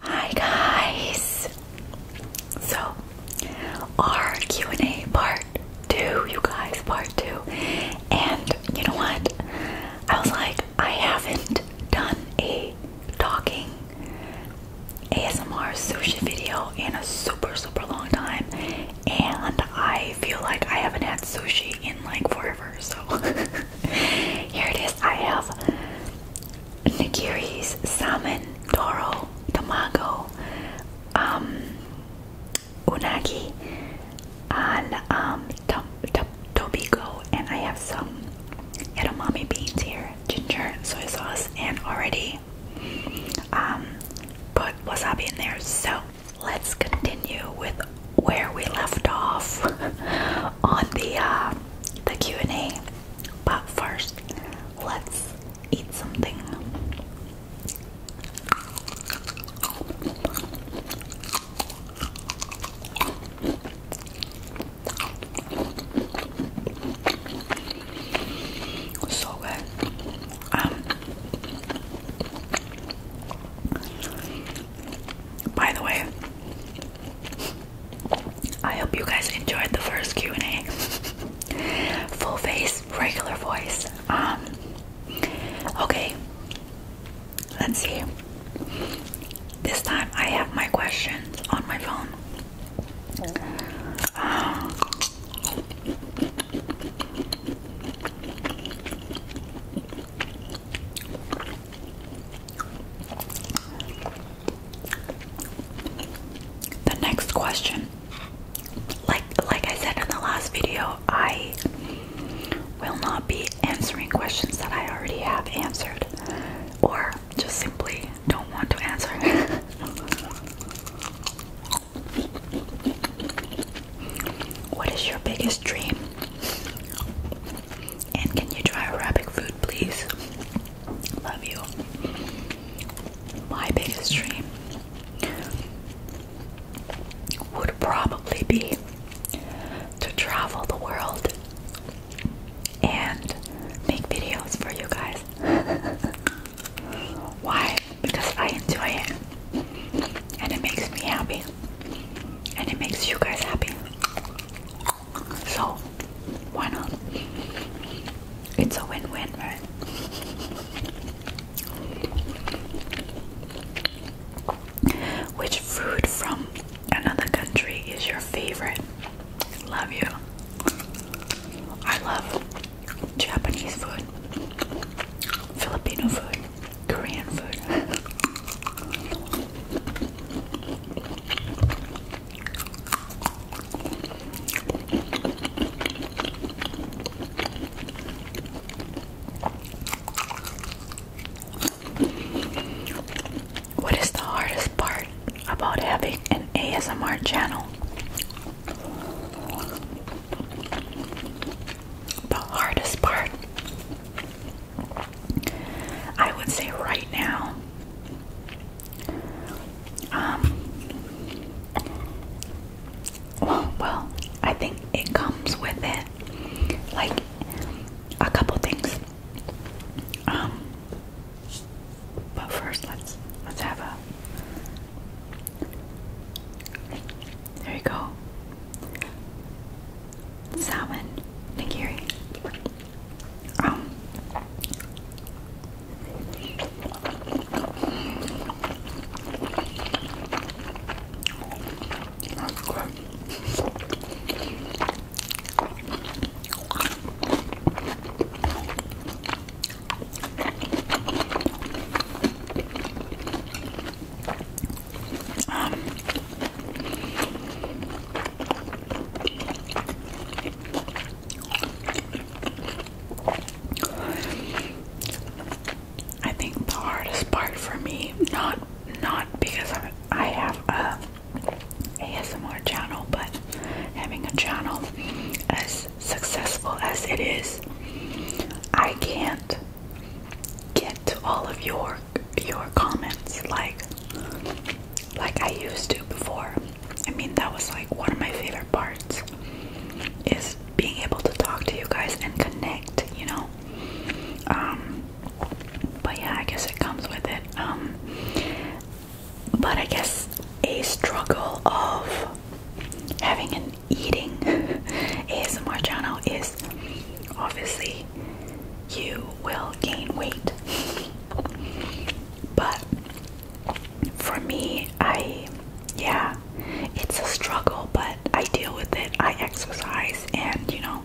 Hi guys. So, our Q&A part 2, you guys, part 2. And you know what? I was like, I haven't done a talking ASMR sushi video in a super super long time and I feel like I haven't had sushi in like forever so here it is. I have nigiris, salmon, doro, tamago, um, unagi, and um, tobiko, and I have some edamame beans here, ginger, soy sauce, and already um, put wasabi in there. So let's continue with where we left off on the uh, the Q&A. But first, let's eat something. So good. Um, by the way, I hope you guys enjoyed the first Q&A. Full face, regular voice. Um okay. Let's see. This time I have my questions on my phone. Um, the next question. Like like I said in the last video, I will not be answering questions that I already have answered or just simply don't want to answer. what is your biggest dream? And can you try Arabic food, please? Love you. My biggest dream would probably be to travel the world and make videos for you guys. Why? Because I enjoy it and it makes me happy and it makes you guys happy. So, why not? It's a win win, right? Which food from another country is your favorite? Love you. I love Japanese food, Filipino food, Korean food. What is the hardest part about having an ASMR channel? The hardest part, I would say, right now, um, well, well, I think it comes with it, like a couple things. Um, but first, let's let's have a there you go. Salmon nigiri. Um, um, I think the hardest part for me, not not because I, I have a ASMR channel, but having a channel as successful as it is, I can't get all of your your comments like like I used to before. I mean that was like one of my favorite parts is being able to talk to you guys and connect, you know. Um but yeah, I guess it comes with it. Um but I guess a struggle of having an eating ASMR channel is obviously you will gain weight. But for me, I, yeah, it's a struggle, but I deal with it. I exercise, and you know,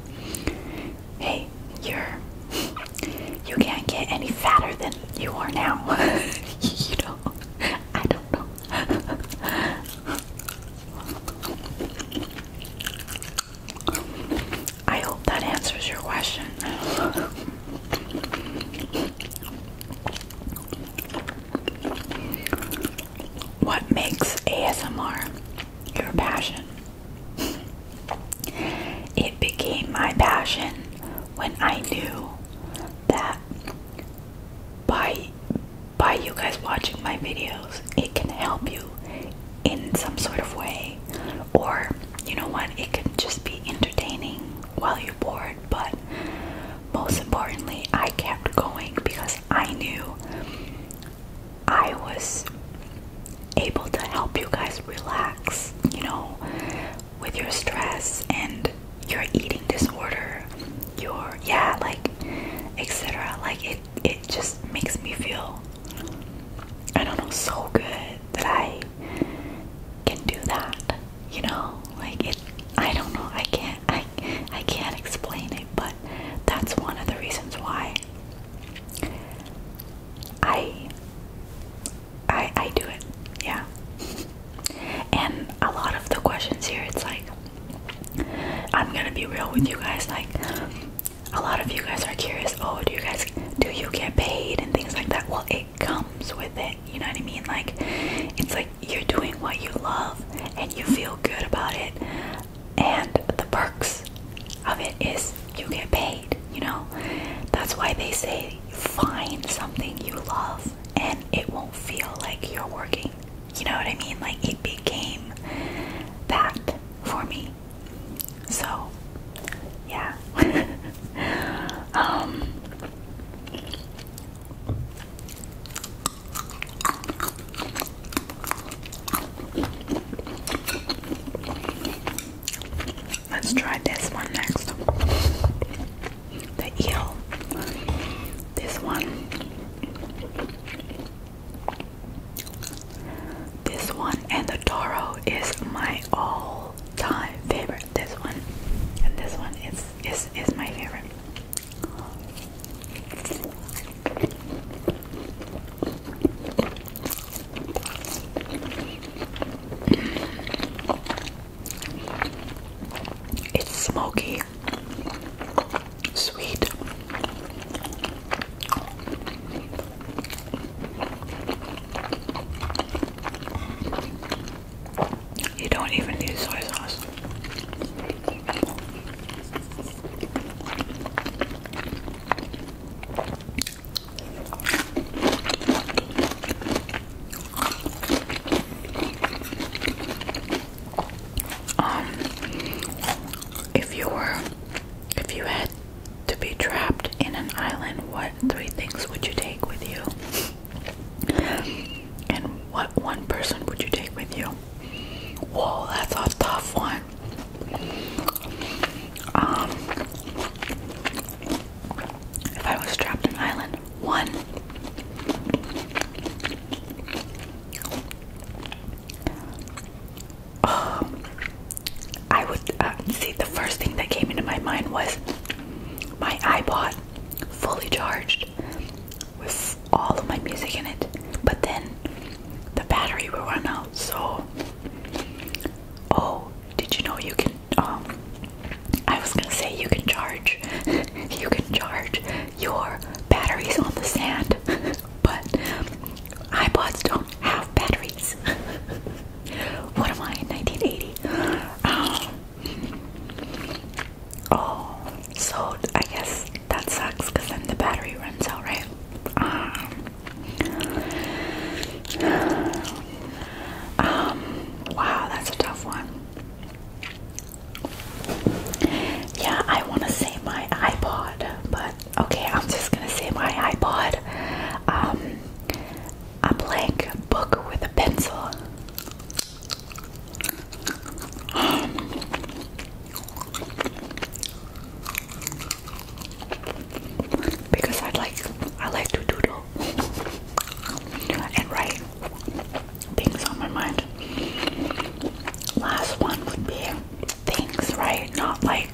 hey, you're, you can't get any fatter than you are now. you know, I don't know. I hope that answers your question. What makes ASMR your passion? It became my passion when I knew that by by you guys watching my videos, it can help you in some sort of way. Or, you know what, it can just be entertaining while you're bored. But most importantly, I kept going because I knew I was able to help you guys relax, you know, with your stress and your eating disorder, your yeah, like etc. Like it it just makes me feel I don't know so good that I can do that. You know? Like it I don't know, I can't I I can't explain it, but that's one of the reasons why I I I do it. Yeah. And a lot of the questions here it's like I'm gonna be real with you guys. Like, a lot of you guys are curious. Oh, do you guys do you get paid and things like that? Well, it comes with it. You know what I mean? Like, it's like you're doing what you love and you feel good about it. And the perks of it is you get paid. You know, that's why they say find something you love and it won't feel like you're working you know what I mean? Like it became that for me. So, yeah. um Let's try this one next the eel. This one. This one and the Toro is my all-time favorite. This one and this one is is is my favorite. It's smoky sweet. You don't even need soy sauce um if you were if you had to be trapped in an island, what three things would you take with you? And what one person would you take with you? Whoa, that's a tough one. Um, if I was trapped in an island, one. Oh, I would uh, see the first thing that came into my mind was my iPod, fully charged, with all of my music in it, but then the battery will run out. So, oh, did you know you can? Um, I was gonna say you can charge, you can charge your batteries on the sand, but iPods don't have batteries. what am I in 1980? Um, oh, so I guess that sucks because then the battery runs out, right? Um, um, wow, that's a tough one. Yeah, I want to say my iPod, but okay, I'm just gonna say my iPod. Um, a blank book with a pencil. because I like I like to doodle and write things on my mind. Last one would be things, right? Not like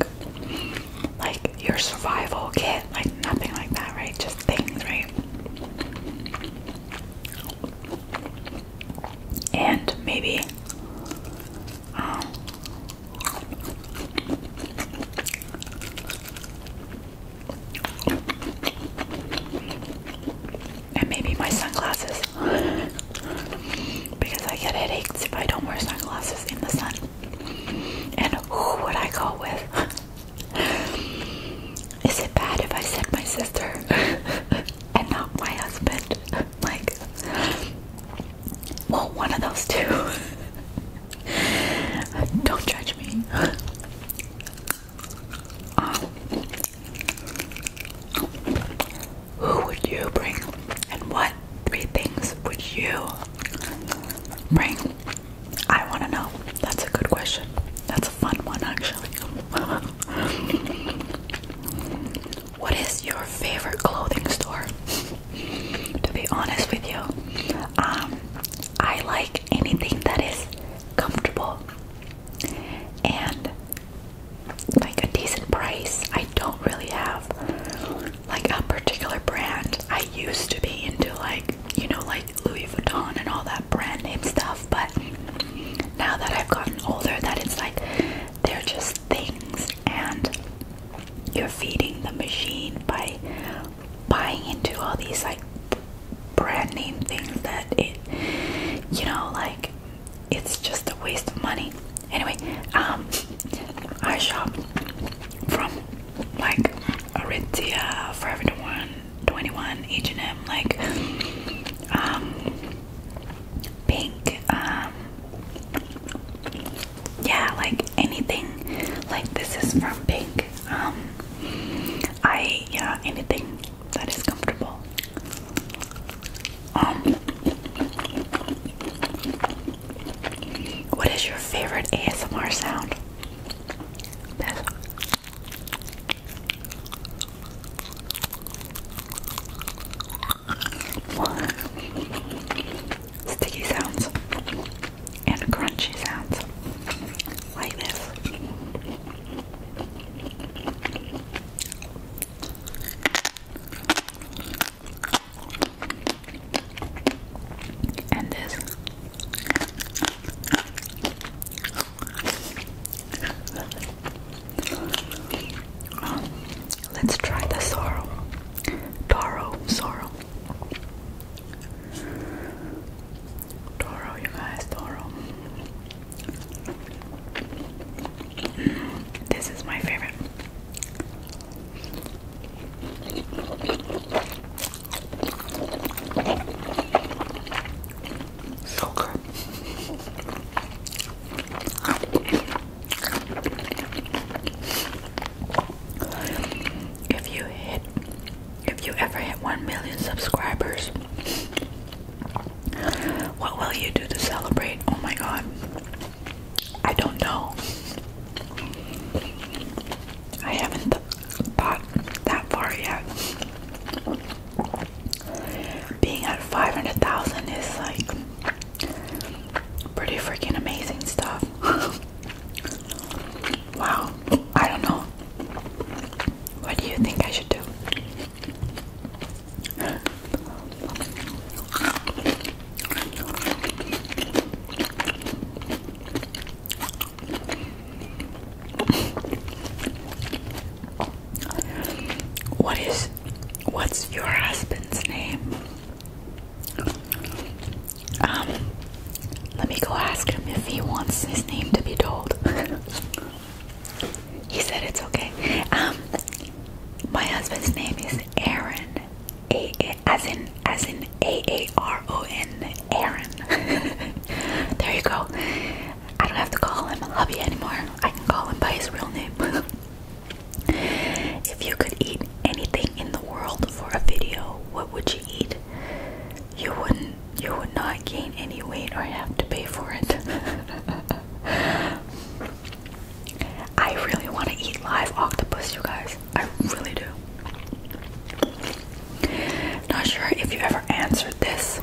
like your survival kit, like nothing like that, right? Just things, right? And maybe um, and maybe my sunglasses. because I get headaches if I don't wear sunglasses in the sun. And who would I go with? Is it bad if I said my sister and not my husband? like, well, one of those two. don't judge me. Um, who would you bring? And what three things would you bring? I want to know. That's a good question. That's a fun one, actually. what is your favorite clothing store? To be honest with you, um, I like anything that is comfortable and like a decent price. I don't really have like a particular brand. I used to be into like, you know, like Louis Vuitton and all that brand name stuff, but now that I've gotten older, that it's like they're just things and you're feeding the machine by buying into all these like brand name things that it, you know, like it's just a waste of money. Anyway, um, I shop from like Aritzia, Forever 21, H&M, like um, pink, um, yeah, like anything. Like this is from pink. Um, I yeah, anything that is comfortable. Um, what is your favorite ASMR sound? Sticky sounds and crunchy sounds like this. And this let's try the sorrow. Toro sorrow. Toro, you guys, Toro. This is my favorite. So good. If you hit, if you ever hit one million subscribers, what will you do to celebrate? Oh my god. I don't know. I haven't th thought that far yet. Being at 500,000 is like pretty freaking amazing stuff. wow. I don't know. What do you think I should do? What is what's your husband's name? Um let me go ask him if he wants his name to be told. he said it's okay. Um, my husband's name is Aaron, A, as in as in A A R O N, Aaron. there you go. I don't have to call him hubby anymore. I can call him by his real name. if you could eat anything in the world for a video, what would you eat? you wouldn't you would not gain any weight or have to pay for it. I really want to eat live octopus, you guys. I really do. Not sure if you ever answered this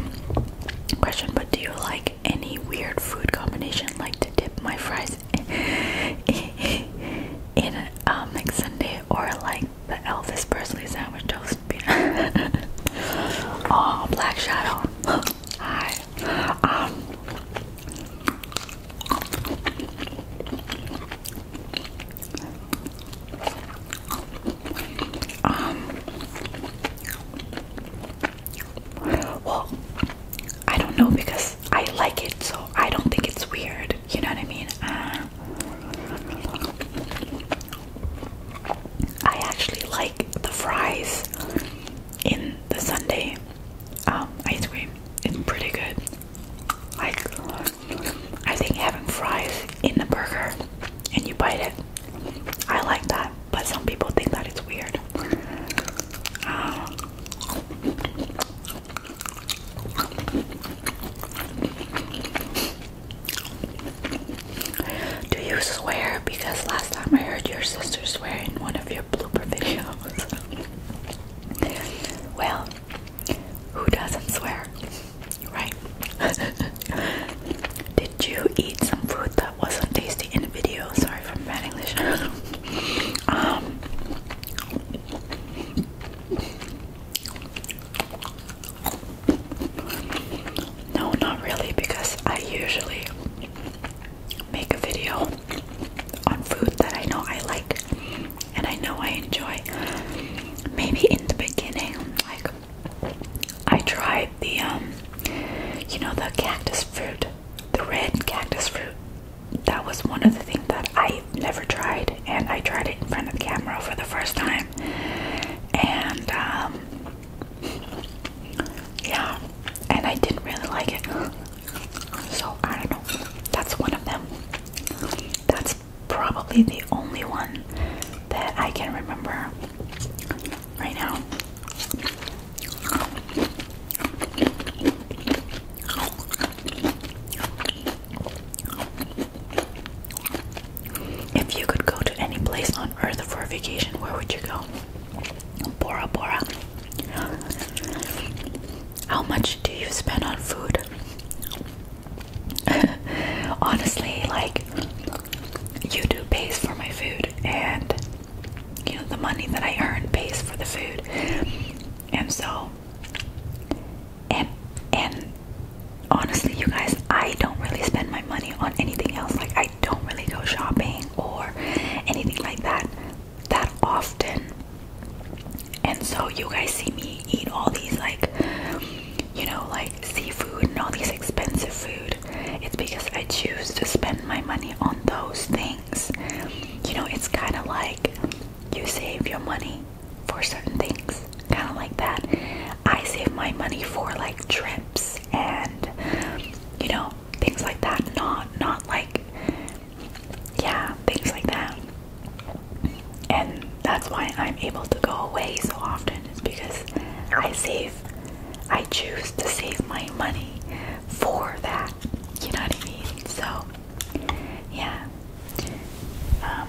question, but do you like any weird food combination? Like to dip my fries in, in um, like or like the Elvis Presley sandwich toast oh, Black Shadow. Hi. Um, um. Well, I don't know because I like it, so I don't think it's weird. You know what I mean? Uh, I actually like the fries in the Sunday um, ice cream. It's pretty good. Like, I think having fries in the burger and you bite it, I like that. But some people think that it's weird. Um, do you swear? Because last time I heard your sister swear in one of your blooper videos. well, who doesn't swear? Right? Did you eat some food that wasn't tasty in the video? Sorry for bad English. um, no, not really, because I usually make a video on food that I know I like and I know I enjoy. Maybe in the beginning, like I tried the um, you know the cactus fruit, the red cactus fruit. That was one of the things that I never tried and I tried it in front of the camera for the first time and um, yeah, and I didn't really like it. So I know. That's one of them. That's probably the only one that I can remember right now. If you could go to any place on earth for a vacation, where would you go? Bora Bora. How much do you spend on food? Honestly, like YouTube pays for my food and you know the money that I earn pays for the food. And so and and honestly you guys I don't really spend my money on anything else like I don't really go shopping or anything like that that often and so you guys see me eat all these like you know like seafood and all these expensive food it's because I choose to spend my money on those things you know it's kind of like you save your money for certain things, kind of like that. I save my money for like trips and you know things like that. Not not like yeah things like that. And that's why I'm able to go away so often is because I save. I choose to save my money for that. You know what I mean? So yeah. Um,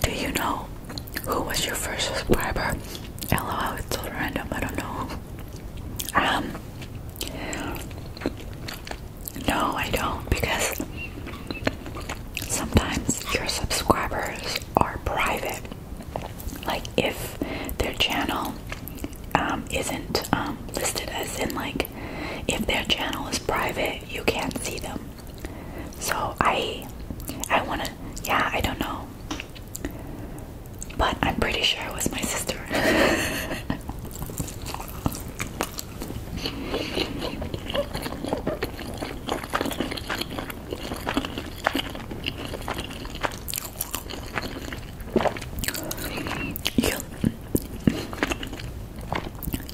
Do you know who was your first subscriber? LOL, it's all random, I don't know. Um, no, I don't, because sometimes your subscribers are private. Like, if their channel um, isn't um, listed as in, like, if their channel is private you can't see them. So I I wanna yeah, I don't know. But I'm pretty sure it was my sister.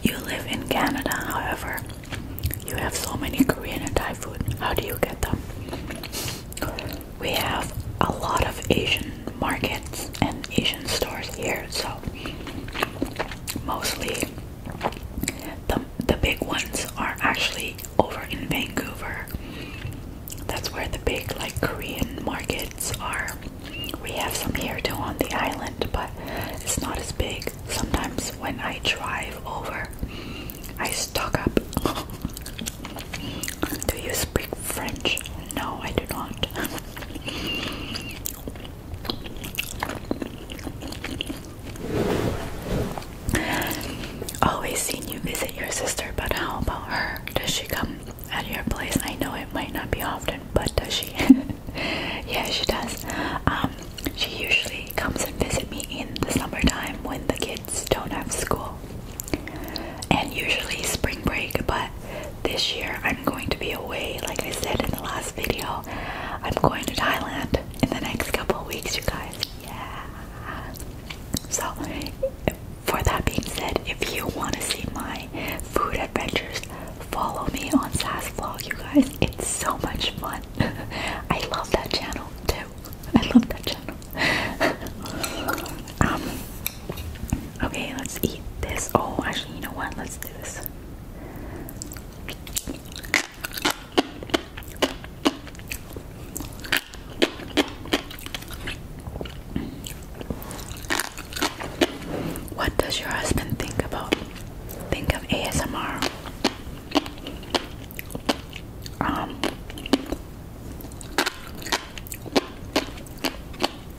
You live in Canada, however, you have so many Korean and Thai food. How do you get them? We have a lot of Asian markets and Asian stores here, so mostly the, the big ones are actually over in Vancouver. That's where the big like Korean markets are. We have some here too on the island, but it's not as big. Sometimes when I drive over, I stock up. do you speak French? No, I do not. Always seen you visit your sister, but how about her? Does she come at your place? I know it might not be often, but does she? yeah, she does. Um, she usually comes and visit me in the summertime when the kids don't have school, and usually spring break. But this year I'm going to be away. Like I said in the last video, I'm going to Thailand in the next couple of weeks, you guys. Yeah. So, for that being said, if you want to see my food adventures, follow me on Sass Vlog, you guys. It's so much fun. I love that channel too. I love that channel. Um, okay, let's eat this. Oh, actually, you know what? Let's do this. What does your husband think about? Think of ASMR. Um,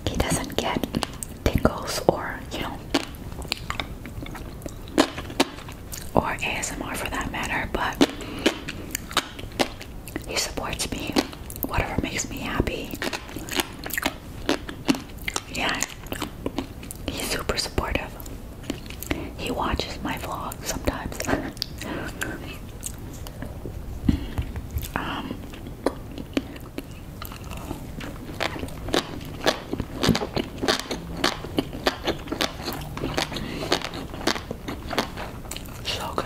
he doesn't get tingles or, you know, or ASMR for that matter, but he supports me, whatever makes me happy. Yeah, he's super supportive. He watches my vlog sometimes. Um, so good.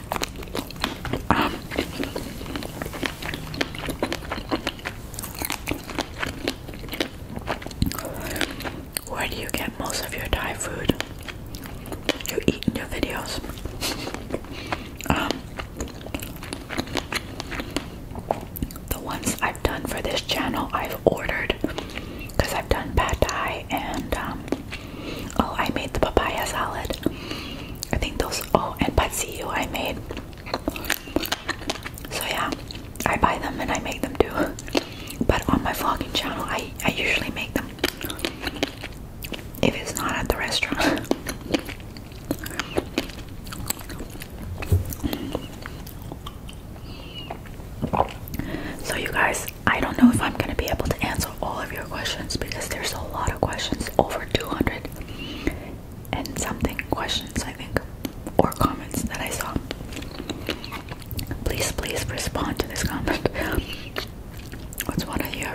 Um, where do you get most of your Thai food? You eat in your videos. Um, the ones I've done for this channel, I've ordered because I've done pad Thai and um, oh, I made the papaya salad. I think those Oh, and but see, you I made. So yeah, I buy them and I make them too. But on my vlogging channel, I I usually make them if it's not at the restaurant. So you guys, I don't know if I'm gonna be able to answer all of your questions because there's a lot of questions, over 200 and something questions, I think, or comments that I saw. Please, please respond to this comment. What's one of your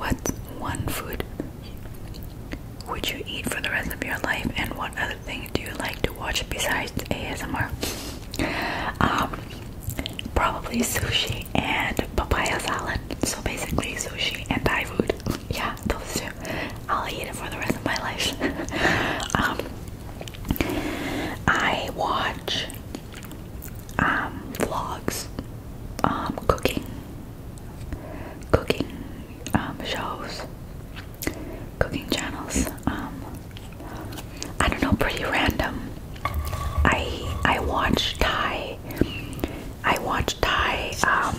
what one food would you eat for the rest of your life, and what other thing do you like to watch besides ASMR? Um, probably sushi and papaya salad. So basically sushi and Thai food. Yeah, those two. I'll eat it for the rest of my life. Um, I watch um, vlogs, um, cooking, cooking shows, cooking channels. I don't know, pretty random. I I watch Thai I watch Thai um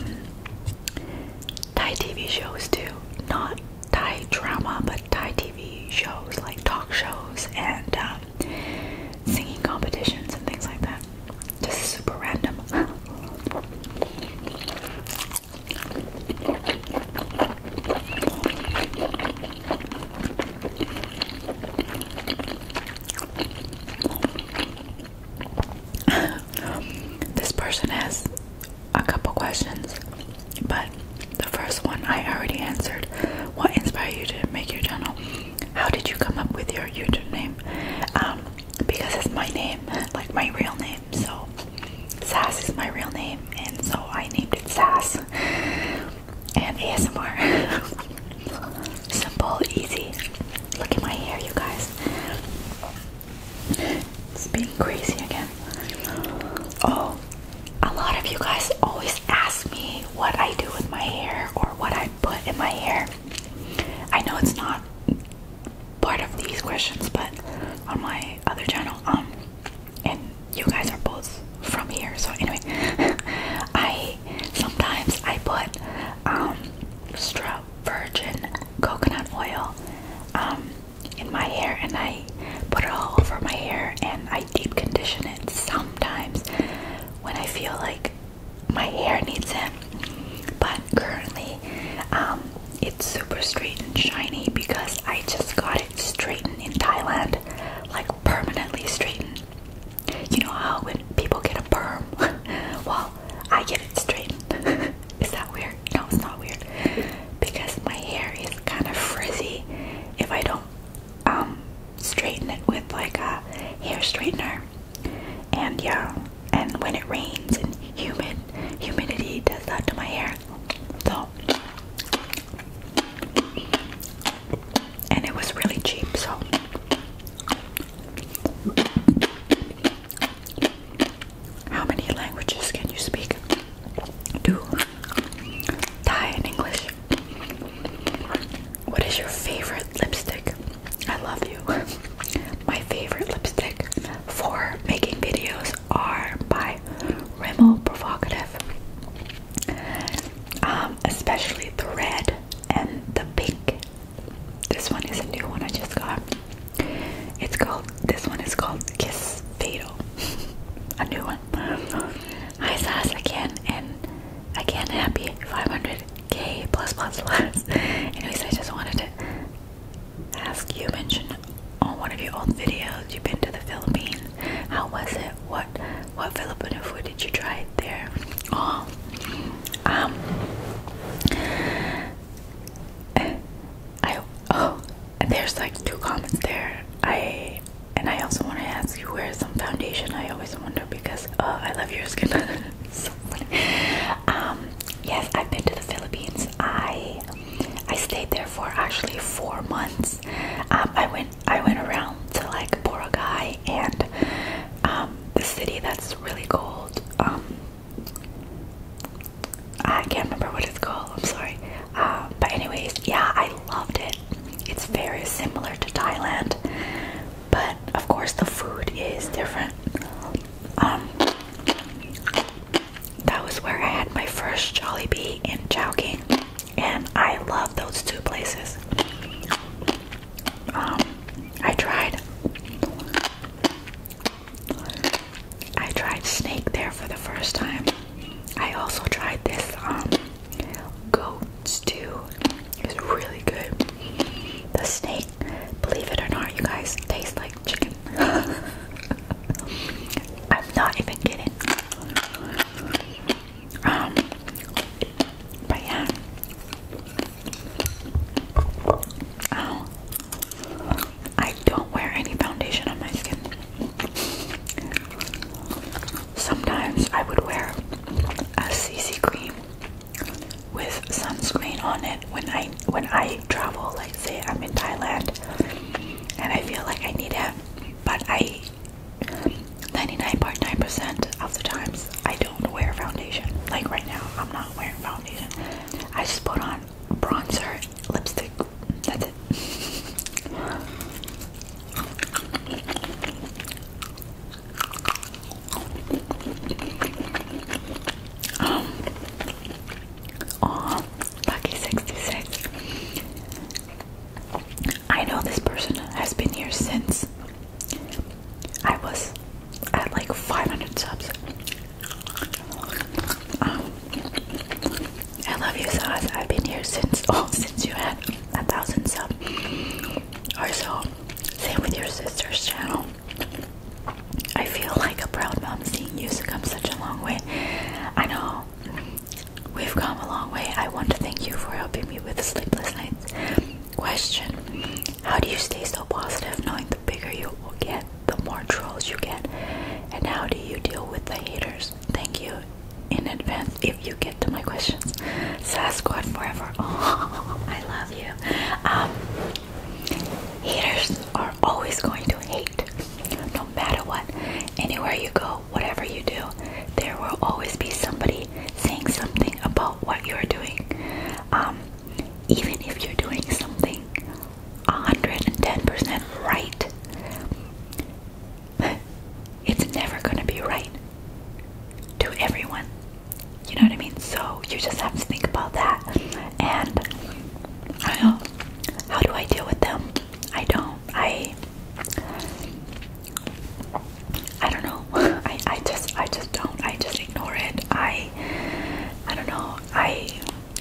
Thai TV shows too. Not Thai drama but Thai TV shows like talk shows and um, singing competitions and things like that. Just super random. this person has a couple questions, but the first one I already answered. What inspired you to make your channel? How did you come up with your YouTube name? Um, because it's my name, like my real name. So, Sass is my real name, and so I named it Sass and ASMR. Simple, easy. Look at my hair, you guys. It's being crazy again. Oh, a lot of you guys always ask me what I do with my hair or what I put in my hair. I know it's not part of these questions, but on my other channel, um, and you guys are both from here. So anyway, I sometimes I put um, extra virgin coconut oil um, in my hair, and I put it all over my hair, and I deep condition it sometimes when I feel like my hair needs it. But currently, um, it's super straight and shiny because I just got it straightened in Thailand, like permanently straightened. You know how when people get a perm? well, I get it straightened. is that weird? No, it's not weird. Because my hair is kind of frizzy if I don't um, straighten it with like a hair straightener. And yeah, and when it rains and humid, humidity does that to my hair. So and it was really cheap, so how many languages can you speak? Do Thai and English. What is your favorite lipstick? I love you. My favorite lipstick for making videos are by Rimmel Provocative. Um, especially the red and the pink. This one is a new one I just got. It's called, this one is called Kiss Fatal. a new one. Hi Sass again and again happy 500k plus plus plus. Anyways, I just wanted to ask you mention on one of your old videos you've been to the Philippines. How was it? What what Filipino food did you try it there? Oh, um, I oh, there's like two comments there. I and I also want to ask you where some foundation. I always wonder because oh, I love your skin. so Um, yes, I've been to the Philippines. I I stayed there for actually four months. Um, I went I went around to like Boracay and um, the city that's really cold. Um, I can't remember what it's called. I'm sorry. Uh, but anyways, yeah, I loved it. It's very similar to Thailand, but of course the food is different. Um, that was where I had my first Jolly Bee in Chowking and I love those two places. Um, I tried. I tried snake there for the first time. I also tried this um, goat stew. was really good. The snake, believe it or not, you guys taste like chicken. I'm not even kidding. Um, but yeah. Oh. I don't wear any foundation on my skin. Sometimes I would wear a CC cream with sunscreen on it when I when I travel. Like say I'm in Thailand and I feel like I need it, but I 99.9% percent of the times I don't wear foundation. Like right now, I'm not wearing foundation. I just put on bronzer, lipstick. That's it. Um, oh, lucky 66. I know this person has been here since I was at like 500 subs. Um, I love you, Saz. I've been here since oh, since you had a thousand subs or so. Same with your sister's channel. I feel like a proud mom seeing you come such a long way. I know We've come a long way. I want to thank you for helping me with sleepless nights. Question How do you stay so positive knowing the bigger you will get, the more trolls you get? And how do you deal with the haters? Thank you in advance if you get to my questions. Sasquatch forever. I love you. Um, haters are always going to hate no matter what. Anywhere you go, whatever you do, there will always be somebody saying something about what you're doing. Um, even if you're doing something 110% right, it's never going to be right to everyone. You know what I mean? So, you just have to think about that. And I don't How do I deal with them? I don't. I I don't know. I I just I just don't. I just ignore it. I I don't know. I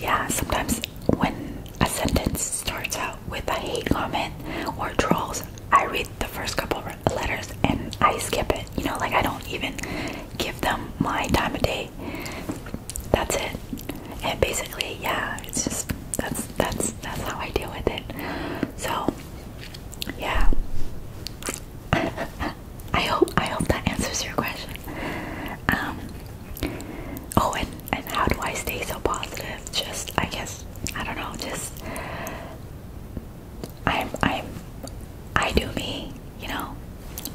yeah. Sometimes when a sentence starts out with a hate comment or trolls, I read the first couple letters and I skip it. You know, like I don't even give them my time of day. That's it. And basically, yeah, it's just that's that's that's how I deal with it. So yeah. I hope I hope that answers your question. Um, oh, and and how do I stay so positive? Just I guess I don't know. Just I'm I'm I do me. You know,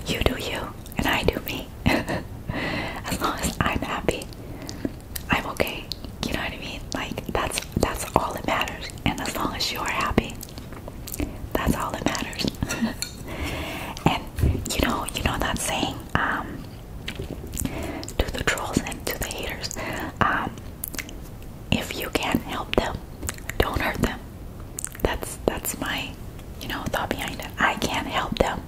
you do you, and I do me. as long as I'm happy, I'm okay. You know what I mean? Like that's that's all that matters. And as long as you are happy, that's all that matters. and you know, you know that saying, um, to the trolls and to the haters, um, if you can not help them, don't hurt them. That's that's my, you know, thought behind it. I can't help them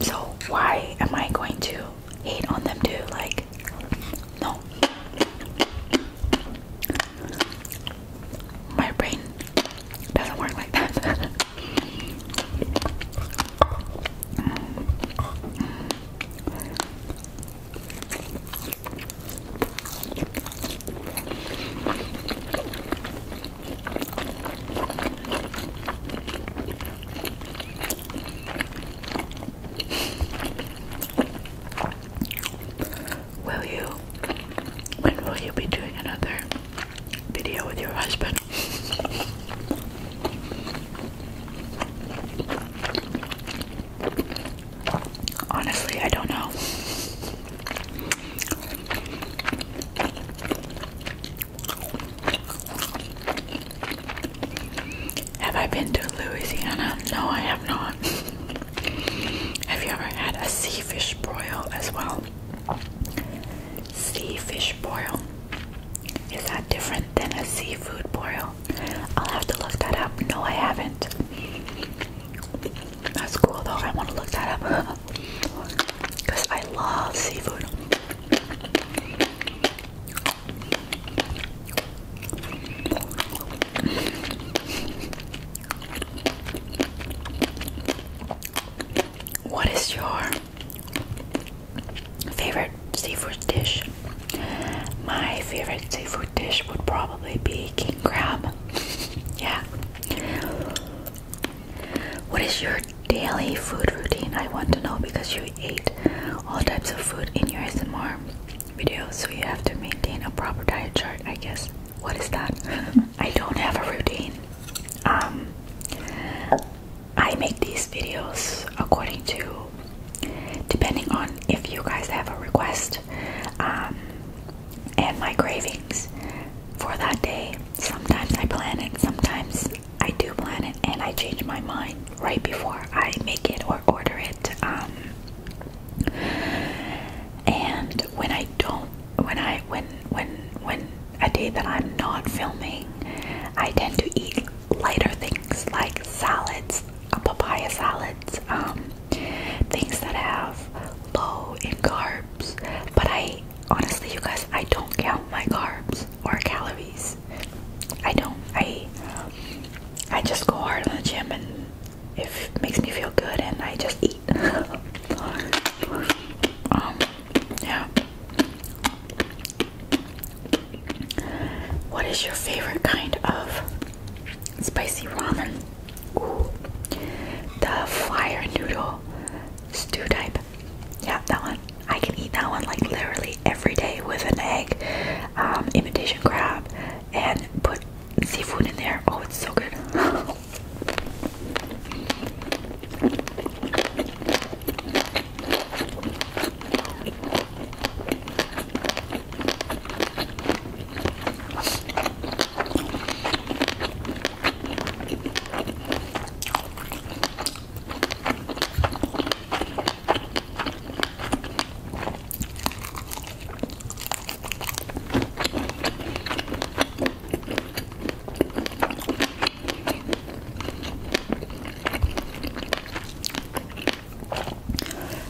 so why am I going to hate on them too? Like, no. My brain doesn't work like that. Will you? When will you be doing another video with your husband? Honestly, I don't know. Have I been to Louisiana? No, I have not. have you ever had a sea fish broil as well? Sea fish broil. Is that different than a seafood boil? I'll have to look that up. No, I haven't. That's cool though. I want to look that up because I love seafood. What is your favorite seafood dish? My favorite seafood dish would probably be king crab. yeah. What is your daily food routine. I want to know because you ate all types of food in your SMR video, so you have to maintain a proper diet chart, I guess. What is that? I don't have a routine. Um, I make these videos according to depending on if you guys have a request um, and my cravings for that day. Sometimes I plan it, sometimes I do plan it and I change my mind right before I make it or order it. Um, and when I don't, when I when when when a day that I'm not filming, I tend to eat lighter things like salads, uh, papaya salads, um, things that have low in carbs. But I honestly, you guys, I don't count my carbs or calories. I don't. I I just go hard on the gym and it makes me feel good, and I just eat. Um, yeah. What is your favorite kind of spicy ramen? the fire noodle stew type. Yeah, that one. I can eat that one like literally every day with an egg, um, imitation crab, and put seafood in there. Oh, it's so good.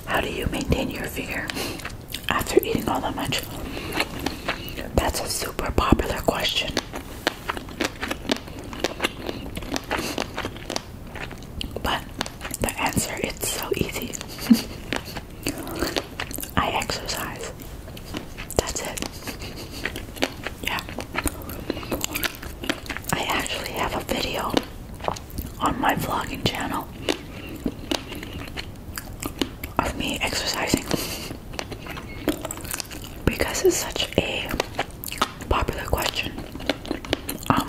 How do you maintain your figure after eating all that much? That's a super popular question. But the answer is so easy. I exercise. That's it. Yeah. I actually have a video on my vlogging channel of me exercising because it's such a popular question. Um,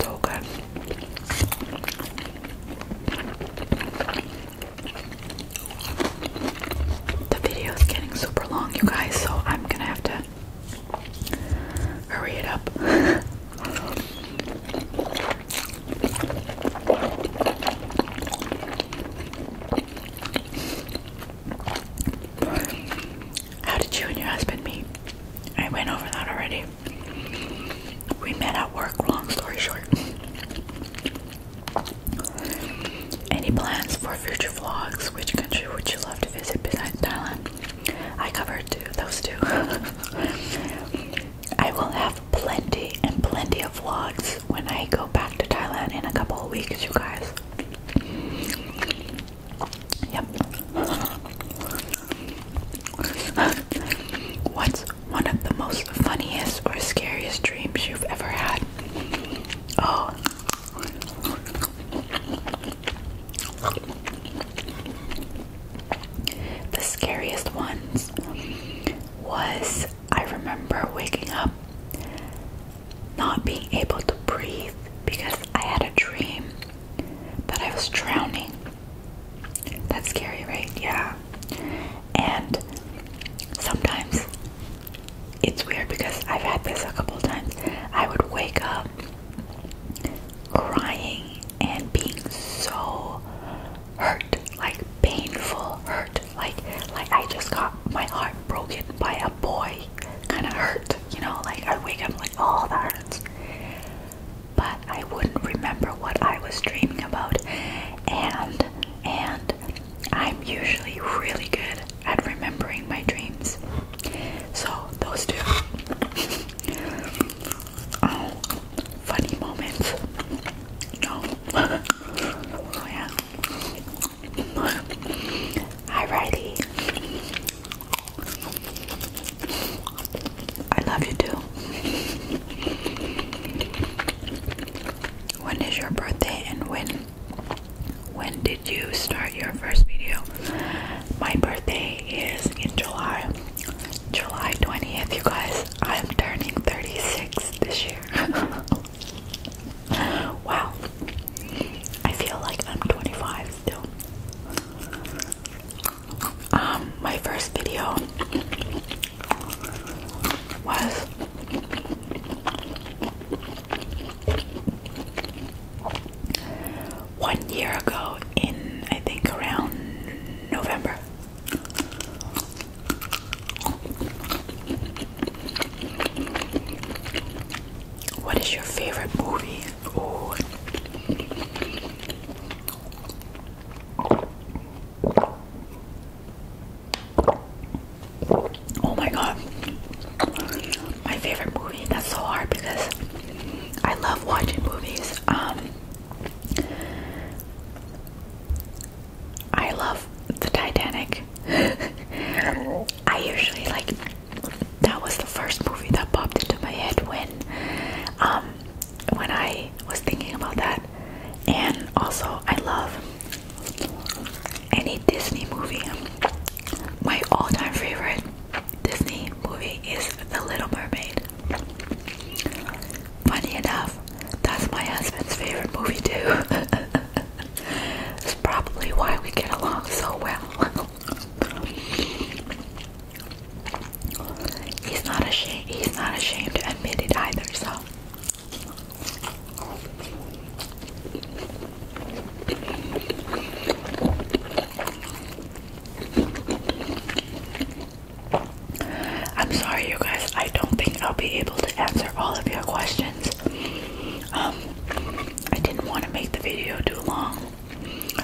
so good. The video is getting super long, you guys, so I'm gonna have to hurry it up. How did you and your husband meet? I went over that already we met at work, long story short. Any plans for future vlogs? Which country would you love to visit besides Thailand? I covered two, those two. I will have plenty and plenty of vlogs when I go back to Thailand in a couple of weeks, you guys. Yep. What's one of the most funniest or scariest dreams you've ever had. Oh. The scariest ones was I remember waking up not being able to breathe because I had a dream that I was drowning. That's scary, right? Yeah. And sometimes it's weird because I've had this a couple times. I would wake up crying and being so hurt, like painful hurt, like like I just got my heart broken by a boy, kind of hurt, you know. Like I wake up like, oh, that hurts but I wouldn't remember what I was dreaming about. And and I'm usually really good at remembering my dreams. So those two, oh, funny moments. No. oh yeah. Alrighty. I love you too. When is your birthday and when when did you start your first video? My birthday is in July. July 20th, you guys. I'm turning 36 this year. wow. I feel like I'm 25 still. Um, my first video was one year ago in I think around November. What is your favorite movie? Oh my god. My favorite movie. That's so hard because I love watching movies. Um I love the Titanic. I usually like that was the first movie that popped into my head when um when I was thinking about that and also, I love any Disney movie. My all time favorite Disney movie is The Little Mermaid. Funny enough, that's my husband's favorite movie, too. it's probably why we get along so well. He's not ashamed. He's not ashamed to admit it either. So. I'm sorry, you guys. I don't think I'll be able to answer all of your questions. Um, I didn't want to make the video too long.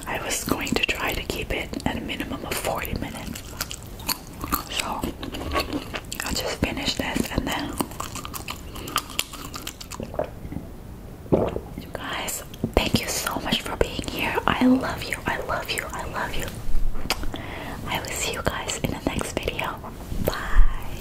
I was going to try to keep it at a minimum of 40 minutes. So I'll just finish this and then guys, thank you so much for being here. I love you. I love you. I love you. I will see you guys in the next video. Bye.